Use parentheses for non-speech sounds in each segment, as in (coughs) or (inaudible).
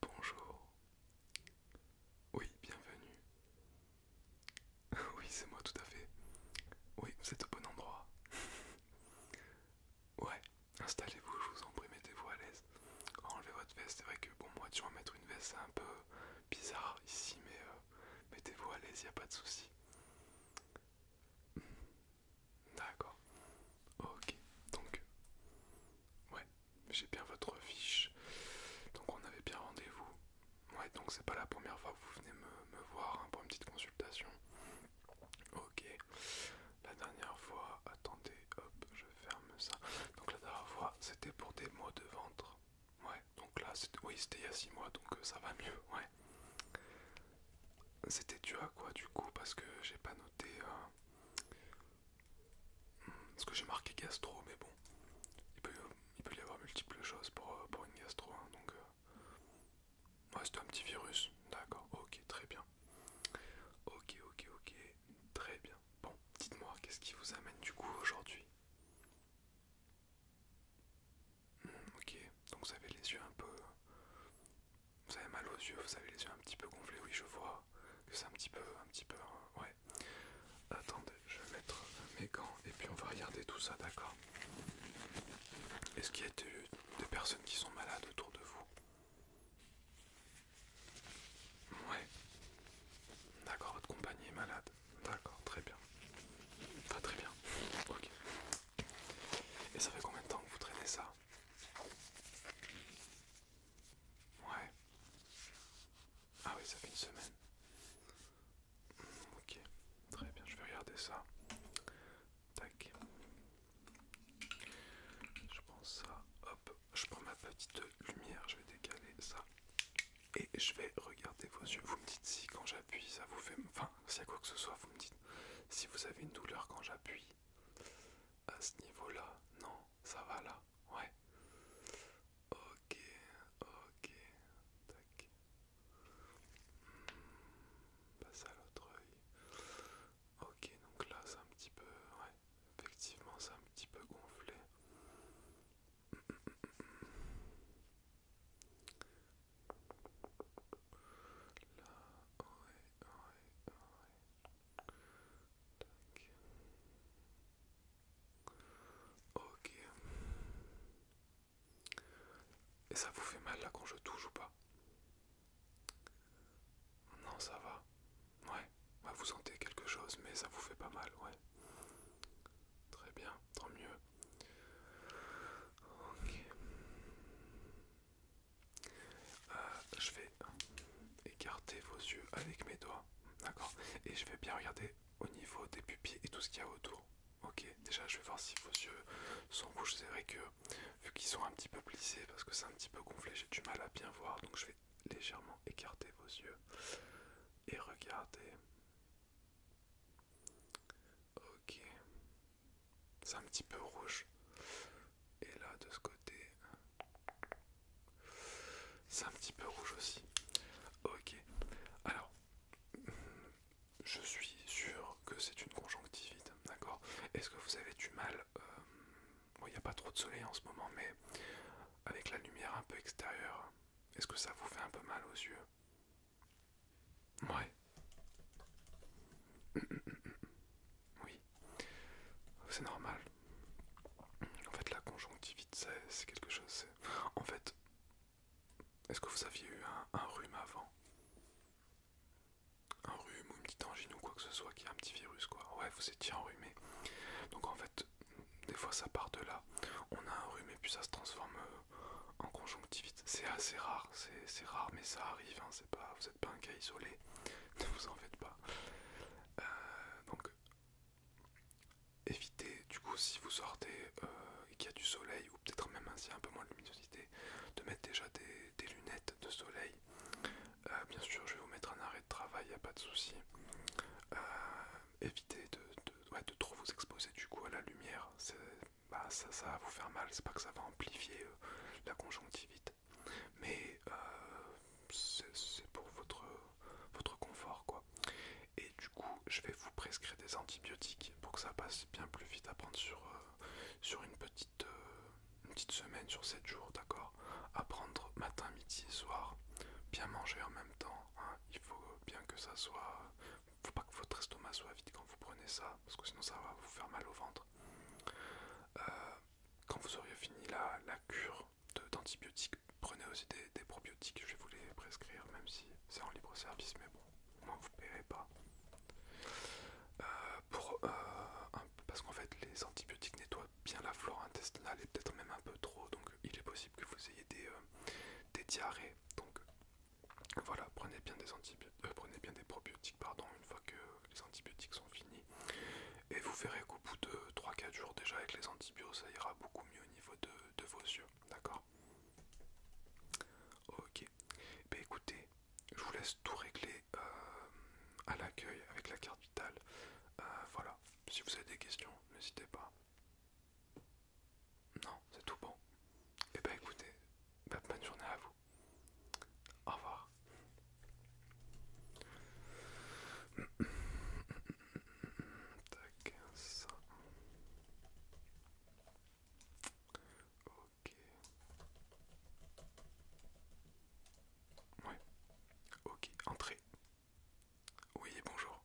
Bonjour. Oui, bienvenue. (laughs) Oui, c'est moi tout à fait. Oui, vous êtes au bon endroit. (laughs) ouais, installez-vous, je vous en prie, mettez-vous à l'aise. Enlevez votre veste, c'est vrai que bon, moi, tu vas mettre une veste, c'est un peu bizarre ici, mais euh, mettez-vous à l'aise, y a pas de souci. D'accord. Ok, donc... Ouais, j'ai bien votre fiche. Donc on avait bien rendez-vous. Ouais, donc c'est pas la première fois que vous venez me, voir hein, pour une petite consultation. Ok. La dernière fois, attendez, hop, je ferme ça. Donc la dernière fois, c'était pour des maux de ventre. Ouais, donc là, oui, c'était il y a 6 mois, donc euh, ça va mieux, ouais. C'était dû à quoi du coup Parce que j'ai pas noté. Hein, parce que j'ai marqué gastro, mais bon, il peut, y avoir multiples choses pour, euh, une gastro. Hein, donc, euh, ouais, c'est un petit virus. D'accord, ok, très bien. Ok, ok, ok, très bien. Bon, dites-moi, qu'est-ce qui vous amène du coup aujourd'hui hmm, Ok, donc vous avez les yeux un peu vous avez mal aux yeux, vous avez les yeux un petit peu gonflés, oui je vois que c'est un petit peu, un petit peu, hein, ouais. Attendez, je vais mettre mes gants et puis on va regarder tout ça, d'accord Est-ce qu'il y a des, personnes qui sont malades autour de vous Ouais. D'accord, votre compagnie est malade. D'accord, très bien. Pas très bien. Ok. Et ça fait combien de temps que vous traînez ça Ouais. Ah oui, ça fait une semaine. Ok, très bien, je vais regarder ça. Tac. Je prends ça, hop, je prends ma petite lumière, je vais décaler ça. Et je vais regarder vos yeux. Vous me dites si quand j'appuie, ça vous fait... Enfin, s'il y a quoi que ce soit, vous me dites si vous avez une douleur quand j'appuie, à ce niveau-là. Non, ça va là. Ouais. Ok, ok. Tac. Hmm, à l'autre œil. Ok, donc là c'est un petit peu... Ouais, effectivement c'est un petit peu gonflé. Ok. Et ça vous fait mal là quand je touche ou pas Non, ça va. Ouais, bah, vous sentez quelque chose, mais ça vous fait pas mal, ouais. Très bien, tant mieux. Ok. Euh, je vais écarter vos yeux avec mes doigts, d'accord Et je vais bien regarder au niveau des pupilles et tout ce qu'il y a autour. Ok, déjà je vais voir si vos yeux sont rouges. C'est vrai que vu qu'ils sont un petit peu plissés parce que c'est un petit peu gonflé, j'ai du mal à bien voir. Donc je vais légèrement écarter vos yeux et regarder. Ok, c'est un petit peu rouge. Et là, de ce côté, c'est un petit peu rouge aussi. Ok. Alors, je suis sûr que c'est une conjonctivite, d'accord Est-ce que vous avez du mal euh, Bon, il n'y a pas trop de soleil en ce moment, mais avec la lumière un peu extérieure, est-ce que ça vous fait un peu mal aux yeux Ouais. Oui. C'est normal. En fait, la conjonctivite, c'est quelque chose. En fait, est-ce que vous aviez eu un, rhume avant Un rhume ou une petite angine ou quoi que ce soit qui a un petit virus, quoi. Ouais, vous étiez enrhumé. Donc en fait, des fois ça part de là. On a un rhume et puis ça se transforme euh, en conjonctivite. C'est assez rare, c'est rare, mais ça arrive. Hein, pas, vous n'êtes pas un cas isolé, (laughs) ne vous en faites pas. Euh, donc, évitez, du coup, si vous sortez euh, et qu'il y a du soleil, ou peut-être même ainsi un peu moins de luminosité, de mettre déjà des, lunettes de soleil. Euh, bien sûr, je vais vous mettre un arrêt de travail, il a pas de souci. évitez de, de trop vous exposer du coup à la lumière, bah, ça, ça va vous faire mal, c'est pas que ça va amplifier euh, la conjonctivite, mais euh, c'est pour votre, votre confort quoi. Et du coup, je vais vous prescrire des antibiotiques pour que ça passe bien plus vite à prendre sur, euh, sur une, petite, petite semaine, sur 7 jours, d'accord À prendre matin, midi soir, bien manger en même temps, hein. il faut bien que ça soit faut pas que votre estomac soit vide quand vous prenez ça, parce que sinon ça va vous faire mal au ventre. Euh, quand vous auriez fini la, cure d'antibiotiques, prenez aussi des, des probiotiques, je vais vous les prescrire, même si c'est en libre service, mais bon, au moins vous ne paierez pas. Euh, pour, euh, parce qu'en fait, les antibiotiques nettoient bien la flore intestinale et peut-être même un peu trop, donc il est possible que vous ayez des, des diarrhées. Donc voilà, prenez bien des antibiotiques, euh, prenez bien des probiotiques, pardon, une fois que les antibiotiques sont finis. Et vous verrez qu'au bout de 3-4 jours déjà avec les antibiotiques, ça ira beaucoup mieux au niveau de, vos yeux, d'accord Ok. Bah écoutez, je vous laisse tout régler euh, à l'accueil avec la carte vitale. Euh, voilà, si vous avez des questions, n'hésitez pas. Non, c'est tout bon. Et eh ben écoutez, bah, bonne journée à vous. Au revoir. (coughs) ça. Ok. Ouais. Ok, Entrez. Oui, bonjour.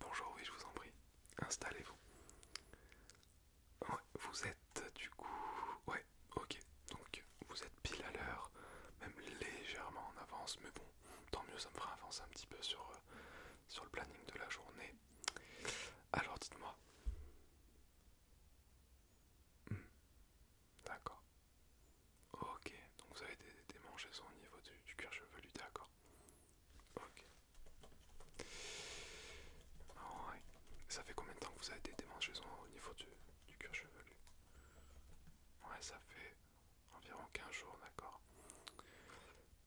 Bonjour, oui, je vous en prie. Installez-vous. vous êtes du coup... Ouais, ok. Donc, vous êtes pile à l'heure, même légèrement en avance, mais bon, tant mieux, ça me fera avancer un petit peu sur, euh, le planning de la journée. Alors, dites-moi. Hmm, d'accord. Ok, donc vous avez des, démangeaisons au niveau du cuir chevelu, d'accord. Ok. Ça fait combien de temps que vous avez des démangeaisons au niveau du, du cuir chevelu Ouais, ça fait environ 15 jours, d'accord.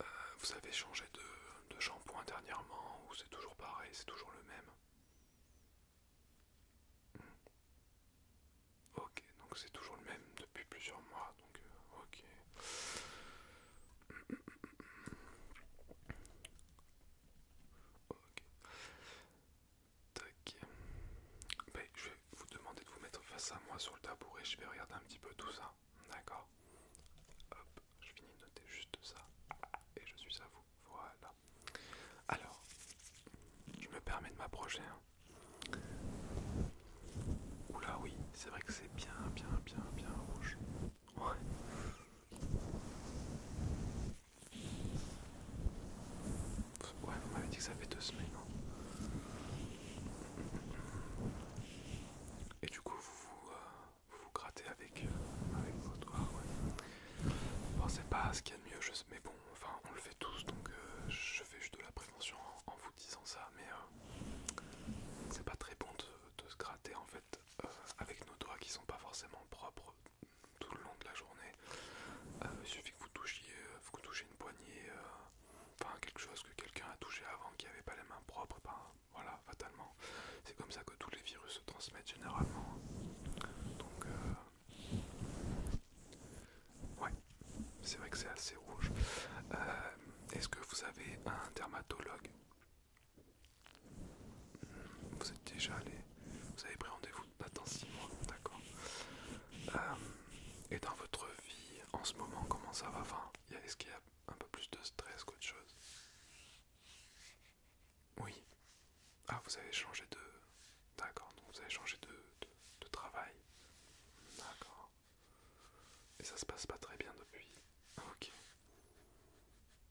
Euh, vous avez changé de, de shampoing dernièrement ou c'est toujours pareil, c'est toujours le même hmm. Ok, donc c'est toujours le même depuis plusieurs mois, donc euh, ok. Ok. Ben, je vais vous demander de vous mettre face à moi sur le tabouret, je vais regarder un petit peu tout ça, d'accord Hop, je finis de noter juste ça, et je suis à vous, voilà. Alors, je me permets de m'approcher, hein. Oula oui, c'est vrai que c'est bien, bien, bien, bien rouge. Ouais. Ouais, vous m'avez dit que ça fait deux semaines. non hein. Et du coup, vous vous, euh, grattez avec, vos euh, avec votre. ouais. Bon, c'est pas ce qu'il y a de mieux, je mais bon, enfin on le fait tous donc euh, je fais juste de la prévention en, vous disant ça mais euh, c'est pas très bon de, se gratter en fait euh, avec nos doigts qui sont pas forcément propres tout le long de la journée. il suffit que vous touchiez, vous touchiez une poignée, enfin quelque chose que quelqu'un a touché avant qui avait pas les mains propres, ben, voilà, fatalement. C'est comme ça que tous les virus se transmettent généralement. Donc Ouais, c'est vrai que c'est assez rouge. Euh, est-ce que vous avez un dermatologue hmm, Vous êtes déjà allé Vous avez pris rendez-vous dans 6 mois, d'accord. Euh, et dans votre vie, en ce moment, comment ça va Est-ce qu'il y a un peu plus de stress qu'autre chose Oui, ah, vous avez changé de. D'accord, donc vous avez changé de, de, travail. D'accord. Et ça se passe pas très bien depuis. Ok.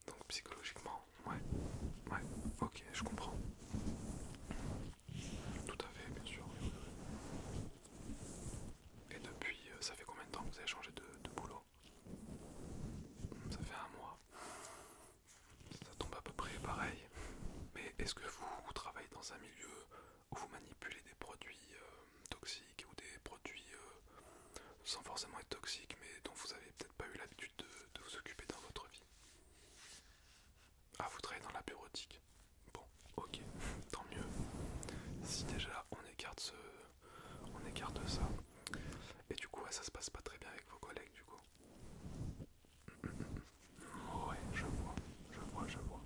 Donc psychologiquement, ouais. Ouais, ok, je comprends. Tout à fait, bien sûr. Et depuis, euh, ça fait combien de temps que vous avez changé de, de boulot Ça fait un mois ça tombe à peu près pareil. Mais est-ce que vous, travaillez dans un milieu où vous manipulez des produits euh, toxiques ou des produits euh, sans forcément être toxiques mais dont vous avez peut-être pas eu l'habitude de, vous occuper dans votre vie Ah, vous travaillez dans la bureautique Bon, ok, (laughs) tant mieux. Si déjà on écarte ce, on écarte ça. Et du coup, ça se passe pas très bien avec vos collègues, du coup. Ouais, je vois, je vois, je vois.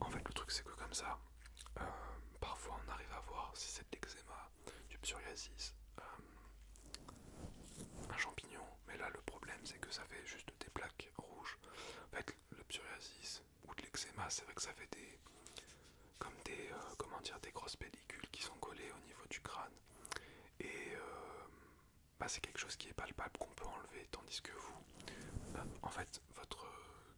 En fait, le truc, c'est que comme ça, euh, parfois on arrive à voir si c'est de l'eczéma, du psoriasis, euh, un champignon. Mais là, le problème, c'est que ça fait juste des plaques rouges. En fait, le psoriasis ou de l'eczéma, c'est vrai que ça fait des. Comme des, euh, comment dire, des grosses pellicules qui sont collées au niveau du crâne. Et euh, bah, c'est quelque chose qui est palpable, qu'on peut enlever, tandis que vous, bah, en fait, votre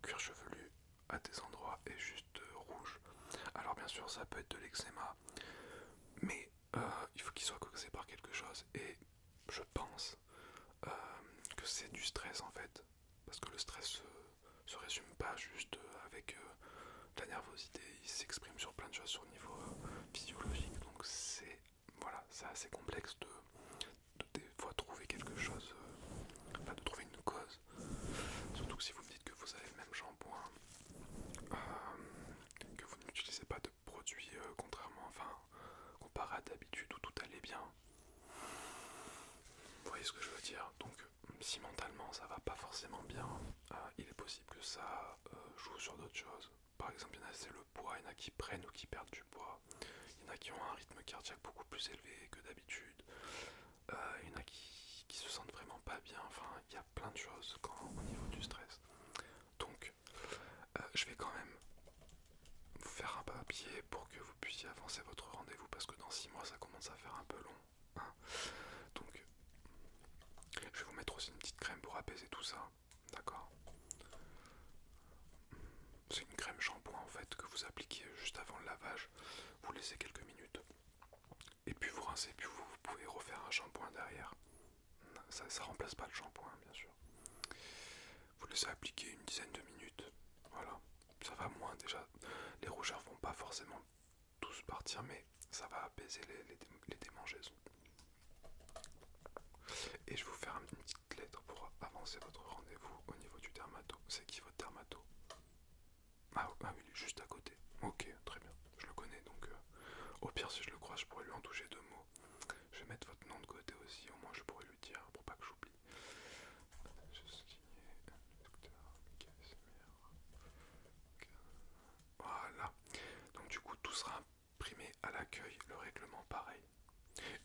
cuir chevelu à des endroits est juste euh, rouge. Alors bien sûr, ça peut être de l'eczéma, mais euh, il faut qu'il soit causé par quelque chose. Et je pense que c'est du stress en fait, parce que le stress se résume pas juste euh, avec de euh, la nervosité, il s'exprime sur plein de choses sur le niveau euh, physiologique. Donc c'est voilà, c'est assez complexe de, trouver quelque chose, de trouver une cause. Surtout que si vous me dites que vous avez le même shampoing, que vous n'utilisez pas de produits contrairement, enfin comparé à d'habitude où tout allait bien. Vous voyez ce que je veux dire Donc si mentalement ça va pas forcément bien, euh, il est possible que ça euh, joue sur d'autres choses. Par exemple, il y en a c'est le poids, il y a qui prennent ou qui perdent du poids, il y en a qui ont un rythme cardiaque beaucoup plus élevé que d'habitude, euh, il y en a qui, se sentent vraiment pas bien, enfin il y a plein de choses au niveau du stress. Donc je vais quand même vous faire un papier pour que vous puissiez avancer votre rendez-vous parce que dans 6 mois ça commence à faire un peu long Hein. Donc, je vais vous mettre aussi une petite crème pour apaiser tout ça. D'accord C'est une crème shampoing en fait que vous appliquez juste avant le lavage. Vous laissez quelques minutes. Et puis vous rincez, puis vous, pouvez refaire un shampoing derrière. Ça ne remplace pas le shampoing, bien sûr. Vous laissez appliquer une dizaine de minutes. Voilà. Ça va moins déjà. Les rougeurs vont pas forcément tous partir, mais ça va apaiser les, démangeaisons. Et je vous faire une petite lettre pour avancer votre rendez-vous au niveau du dermato. C'est qui votre dermato ah, ah, oui, juste à côté. Ok, très bien. Je le connais, donc euh, au pire, si je le crois, je pourrais lui en toucher deux mots. Je vais mettre votre nom de côté aussi, au moins je pourrais lui dire, pour pas que j'oublie. Voilà. Donc du coup, tout sera imprimé à l'accueil, le règlement pareil.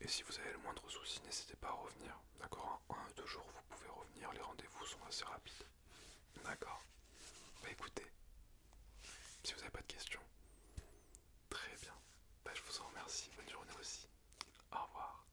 Et si vous avez le moindre souci, n'hésitez pas à revenir. D'accord En hein? un, deux jours, vous pouvez revenir. Les rendez-vous sont assez rapides. D'accord Bah écoutez, si vous n'avez pas de questions, très bien. Bah, je vous en remercie. Bonne journée aussi. Au revoir.